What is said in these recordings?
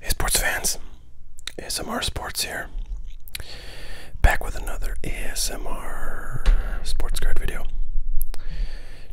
Hey sports fans, ASMR Sports here. Back with another ASMR sports card video.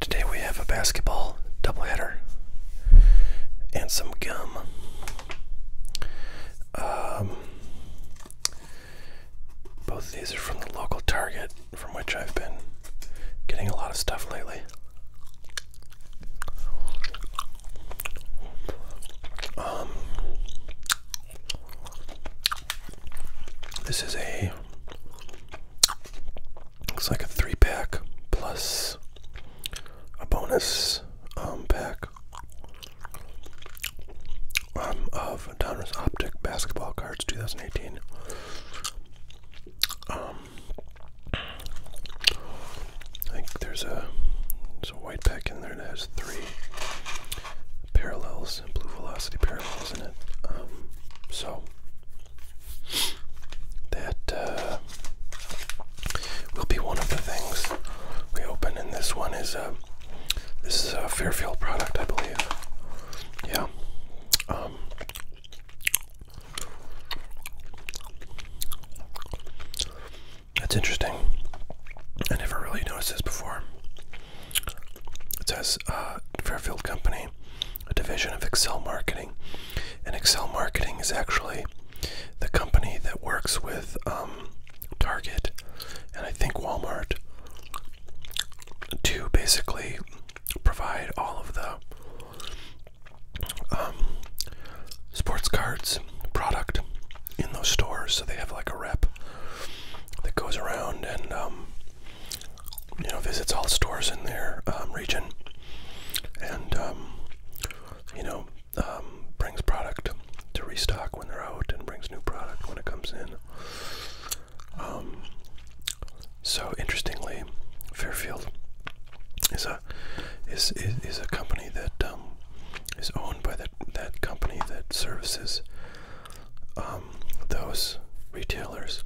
Today we have a basketball doubleheader and some gum. Um, both of these are from the local Target from which I've been getting a lot of stuff lately. Um, this is a looks like a three pack plus a bonus um, pack um, of Donruss Optic basketball cards 2018. I think there's a, there's a white pack in there that has three parallels, blue velocity parallels in it. Um, so that uh, will be one of the things we open, and this one is a uh, this is a Fairfield product, I believe. Yeah, um, that's interesting. I never really noticed this before. It says uh, Fairfield Company, a division of Excel Marketing. And Excel Marketing is actually the company that works with um, Target and I think Walmart to basically provide all of the um, sports cards product in those stores. So they have like a rep that goes around and um, you know visits all stores in their um, region and you know brings product to restock when they're out and brings new product when it comes in. Um, so interestingly, Fairfield is a is is, a company that um, is owned by that that company that services um, those retailers.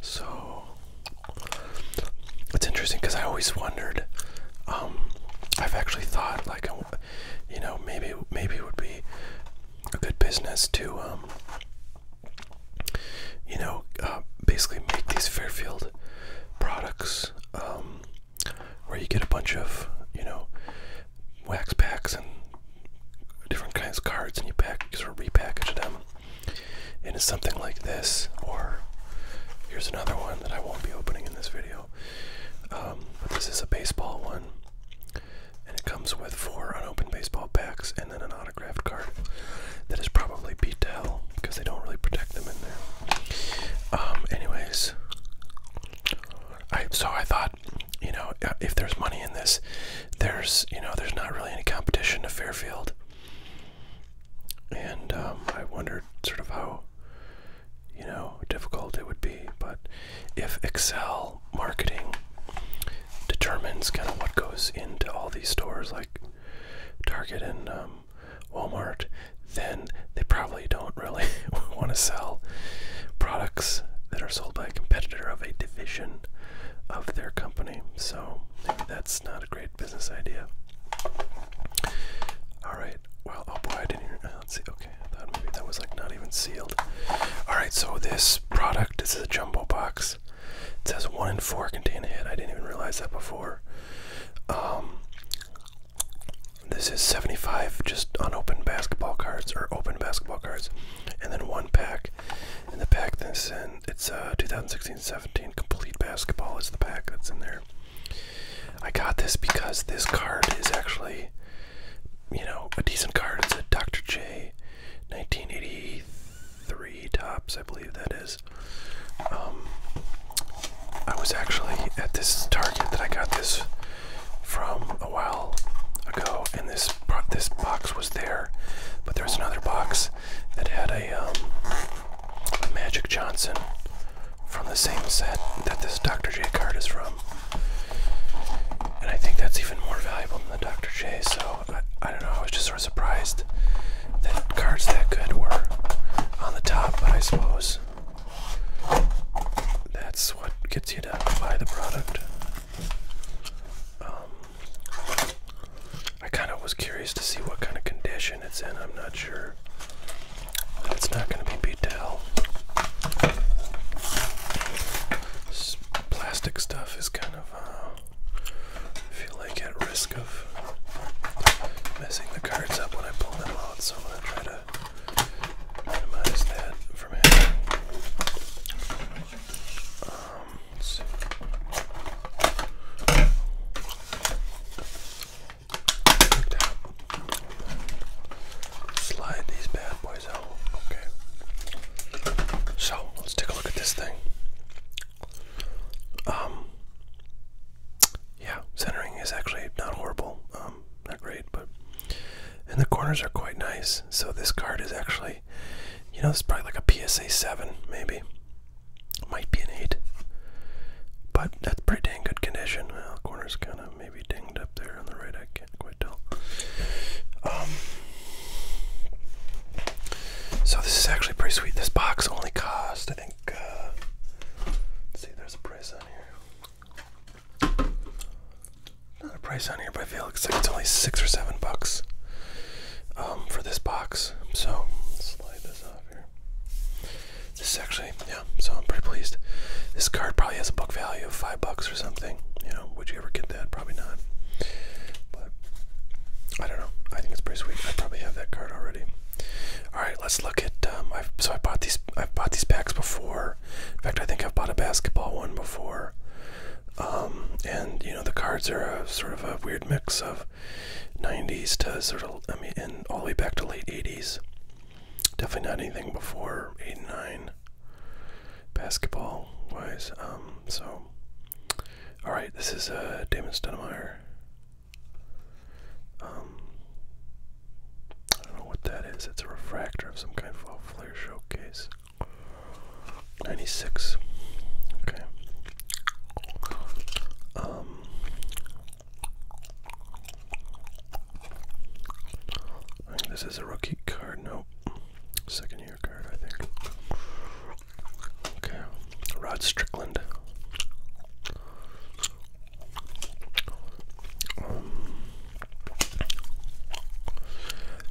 So it's interesting because I always wondered. I've actually thought like, you know, maybe maybe it would be a good business to you know, uh, basically make these Fairfield products um, where you get a bunch of, you know, wax packs and different kinds of cards and you pack, you sort of repackage them. And it's something like this, or here's another one that I won't be opening in this video. Um, but this is a baseball one. And it comes with four unopened baseball packs and then an autographed card that is probably beat to hell because they don't really protect them in there. Um, anyways, I so I thought, you know, uh, if there's money in this, there's you know there's not really any competition to Fairfield. And um, I wondered sort of how you know difficult it would be, but if Excel marketing determines kind of what goes into all these stores like Target and um, Walmart, then they probably don't really want to sell products that are sold by a competitor of a division of their company. So maybe that's not a great business idea. All right. Well, oh boy, I didn't even. Uh, let's see. Okay, I thought maybe that was like not even sealed. Alright, so this product, this is a jumbo box. It says one in four contain a hit. I didn't even realize that before. Um, this is 75 just unopened basketball cards or open basketball cards, and then one pack. In the pack this in it's 2016-17 uh, complete basketball is the pack that's in there. I got this because this card is actually you know, a decent card. It's a Dr. J 1983 tops, I believe that is. Um, I was actually at this Target that I got this from a while ago, and this this box was there, but there was another box that had a um, Magic Johnson from the same set that this Dr. J card is from. And I think that's even more valuable than the Dr. J. So I, don't know. I was just sort of surprised that cards that good were on the top, but I suppose that's what gets you to buy the product. Um, I kind of was curious to see what kind of condition it's in. I'm not sure. It's not going to be beat to plastic stuff is kind of, uh, feel like at risk of messing the cards up when I pull them out, so I'm going to try to minimize that from happening. Um, Slide these bad boys Okay. So let's take a look at this thing. Um. Yeah, centering is actually not horrible. Um, not great, but and the corners are quite nice. So this card is actually, you know, this is probably like a PSA seven, maybe. Might be an eight. But that's pretty dang good condition. Well, corner's kind of maybe dinged up there on the right um, so this is actually pretty sweet. This box only cost, I think. Uh, let's see, there's a price on here. Not a price on here, but I feel like it's only six or seven bucks um, for this box. So slide this off here. This is actually yeah, so I'm pretty pleased. This card probably has a book value of five bucks or something. You know, would you ever get that? Probably not. But I don't know. I think it's pretty sweet. I probably have that card already. All right, let's look at. Um, so I bought these. I've bought these packs before. In fact, I think I've bought a basketball one before. Um, and you know the cards are a, sort of a weird mix of 90s to sort of I mean and all the way back to late 80s Definitely not anything before eight and nine basketball wise. Um, so alright, this is uh, Damon Stoudemire. Um I don't know what that is. It's a refractor of some kind of flare showcase. 96. Okay. Um, this is a rookie card. No, second year card, I think. Rod Strickland. Um,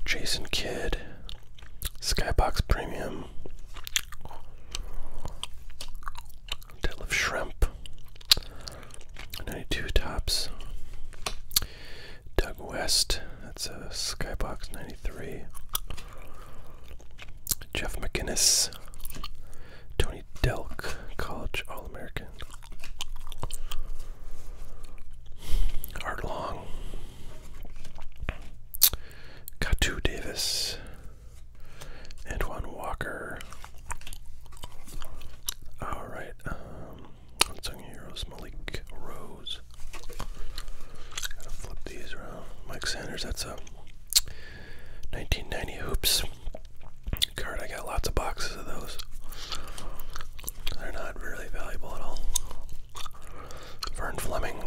Jason Kidd, Skybox Premium, deadlift shrimp, 92 tops. Doug West, that's a skybox 93. Jeff McInnes, Tony Delk, college All American. Art Long, Katu Davis, Antoine Walker. All right, um, unsung heroes, Malik Rose. Gotta flip these around. Mike Sanders, that's a 1990 hoops card. I got lots of boxes of those. They're not really valuable at all. Vern Fleming,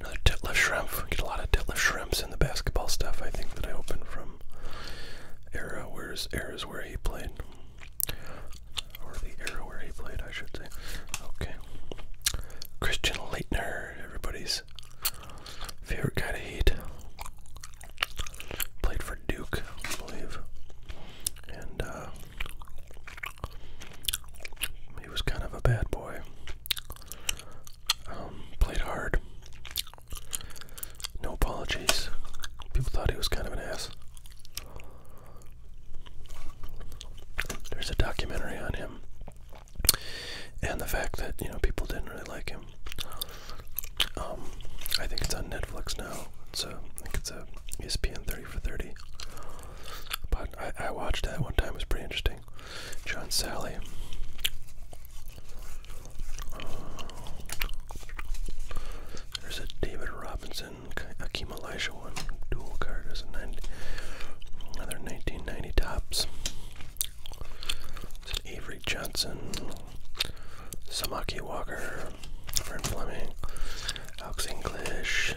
another Titliff Shrimp. Get a lot of Titliff Shrimp shrimps and the basketball stuff I think that I opened from era where's eras where he played. Or the era where he played, I should say. Okay. Christian Leitner, everybody's favorite kind of heat. Played for Duke, I believe. And uh, he was kind of a bad boy. Um, played hard. No apologies. People thought he was kind of an ass. There's a documentary on him and the fact that, you know, people didn't really like him. Um, I think it's on Netflix now. So I think it's a ESPN 30 for 30. But I, I watched that one time. It was pretty interesting. John Sally. there's a David Robinson, Akeem Elijah one. Dual card another 1990 tops. It's an Avery Johnson, Samaki Walker, Vern Fleming, Alex English,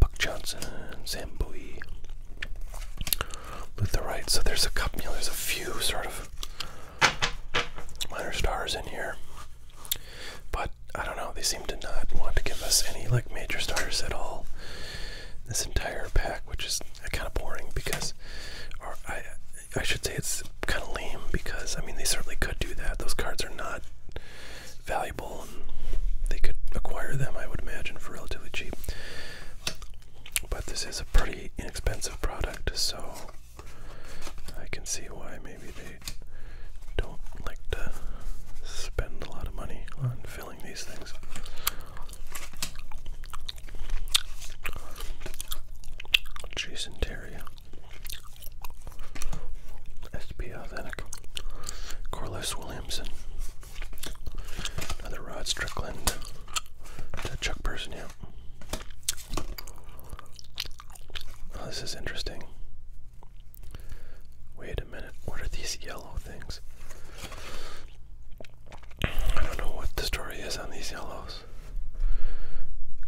Buck Johnson, Sam Bowie, lutherite. So there's a couple, there's a few sort of minor stars in here, but I don't know. They seem to not want to give us any like major stars at all. This entire pack, which is kind of boring because, or I, I should say it's kind of lame because I mean they certainly could do that. Those cards are not valuable, and they could acquire them. I would imagine for relatively cheap. But this is a pretty inexpensive product, so I can see why maybe they don't like to spend a lot of money on filling these things. Jason Terry. SB Authentic. Corliss Williamson. Another Rod Strickland. To Chuck Person, yeah. Oh, this is interesting. Wait a minute. What are these yellow things? I don't know what the story is on these yellows.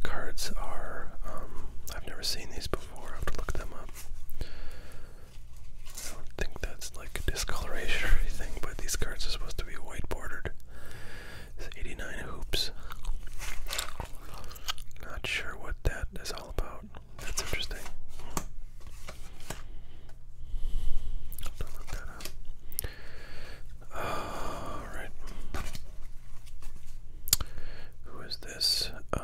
Cards are. Um, I've never seen these before. I have to look them up. I don't think that's like discoloration or anything, but these cards are supposed to be white bordered. It's 89 hoops. Not sure what that is all about. That's interesting. Don't look that up. Alright. Who is this? Um,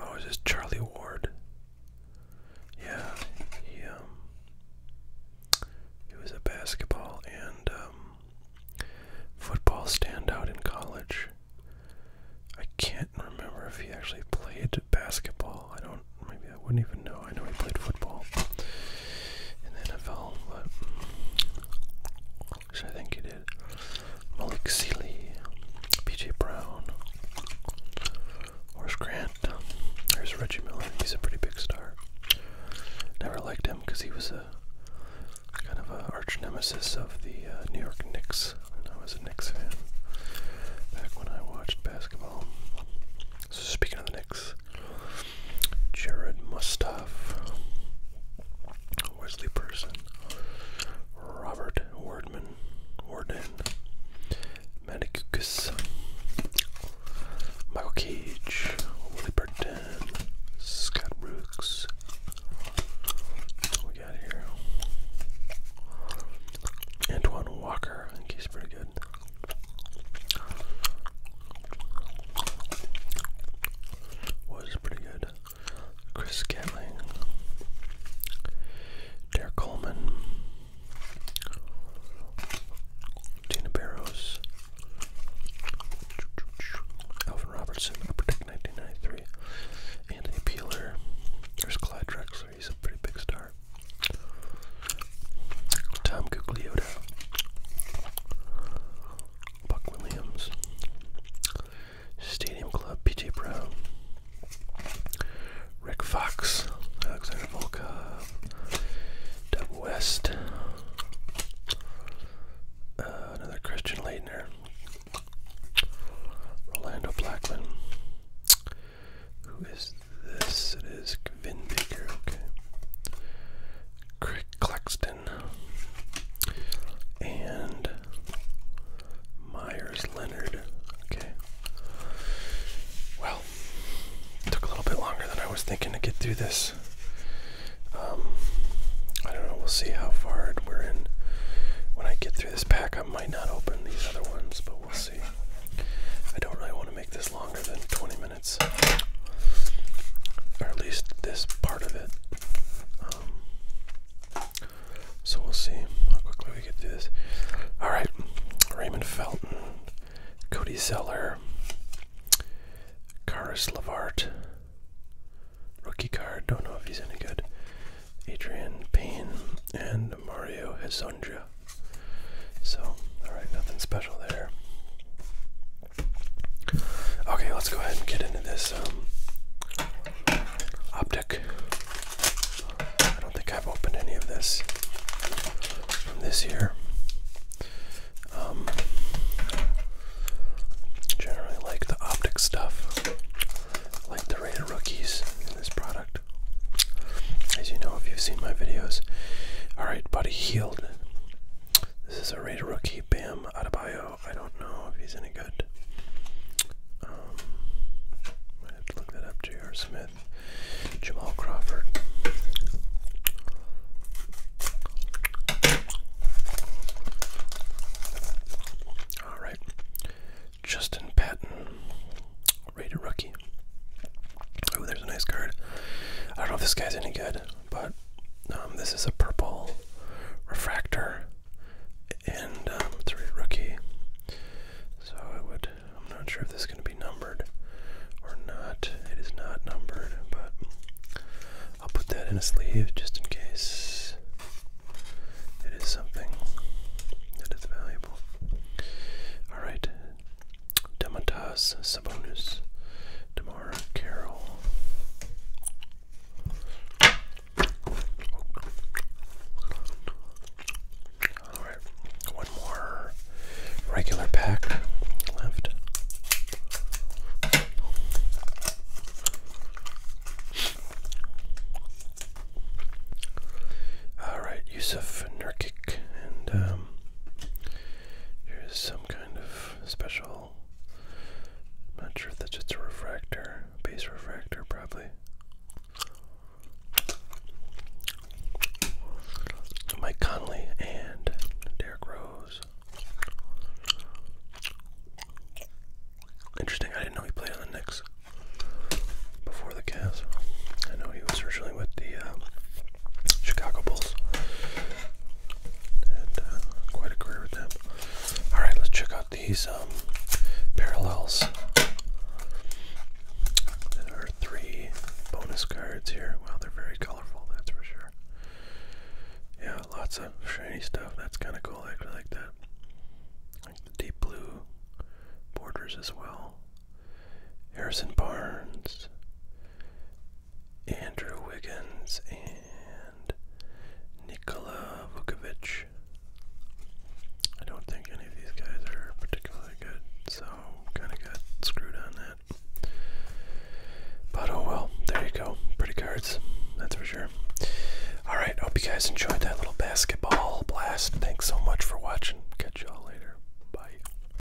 Oh, it's this Charlie Ward? Yeah, he um, he was a basketball and um, football standout in college. I can't remember if he actually played basketball. I don't. Maybe I wouldn't even know. I know he played football in the NFL, but I think he did. Malik Seeley, P.J. Brown, Horace Grant. There's Reggie Miller. He's a pretty big star. Never liked him because he was a kind of an arch nemesis of the uh, New York Knicks, and I was a Knicks fan back when I watched basketball. speaking of the Knicks, Jared Mustaf, Wesley Person, Robert Wardman, Warden, Manicucus, Michael Cage, Willie Burton, Scott Brooks. What we got here? Antoine Walker, I think he's pretty good. Was pretty good. Chris Gatling, Derek Coleman, Tina Barrows, Alvin Robertson, Upper Deck 1993, Anthony Peeler. There's Clyde Drexler, he's a pretty big star. Tom Gugliotta, Buck Williams, Stadium Club, PJ Brown, Rick Fox, Alexander Volka, Doug West, uh, another Christian Leitner, Orlando Blackman. Who is this? It is Vin Baker, okay. Crick Boston and Myers Leonard. Okay. Well, it took a little bit longer than I was thinking to get through this. Um, I don't know. We'll see how far we're in. When I get through this pack, I might not open these other ones, but we'll see. I don't really want to make this longer than 20 minutes, or at least this part. Um, so we'll see how quickly we get through this. All right, Raymond Felton, Cody Zeller, Karis Lavart, rookie card. Don't know if he's any good. Adrian Payne and Mario Hezondra. So, all right, nothing special there. Okay, let's go ahead and get into this um, optic. I don't think I've opened any of this from this here. Um, generally like the optic stuff, like the of rookies in this product. As you know, if you've seen my videos. Alright, buddy healed. This is a of rookie, Bam um, I don't know if he's any good. Um, have to look that up. J.R. Smith, Jamal Crawford. All right, Justin Patton, rated rookie. Oh, there's a nice card. I don't know if this guy's any good but um, this is a purple refractor, and um, rookie. So I'm not sure if this is going to be numbered or not. It is not numbered, but I'll put that in a sleeve just in case it is something that is valuable. All right, Demontas Sabonis, Demar Carroll. All right, one more regular pack left. All right, Yusuf Nurkic, and um, here's some kind of special. I'm not sure if that's just a refractor, base refractor, probably. Mike Conley and Derek Rose. Interesting, I didn't know he played on the Knicks before the Cavs. I know he was originally with the um, Chicago Bulls. Uh, quite a career with them. Alright, let's check out these um, parallels. There are three bonus cards here. Wow, they're very colorful, that's for sure. Yeah, lots of shiny stuff. That's kind of cool. I actually like that. Like the deep blue borders as well. Harrison Barnes, Andrew Wiggins and Nikola Vukovic. I don't think any of these guys are particularly good, so kind of got screwed on that. But oh well, there you go. Pretty cards, that's for sure. Alright, hope you guys enjoyed that little basketball blast. Thanks so much for watching. Catch y'all later. Bye.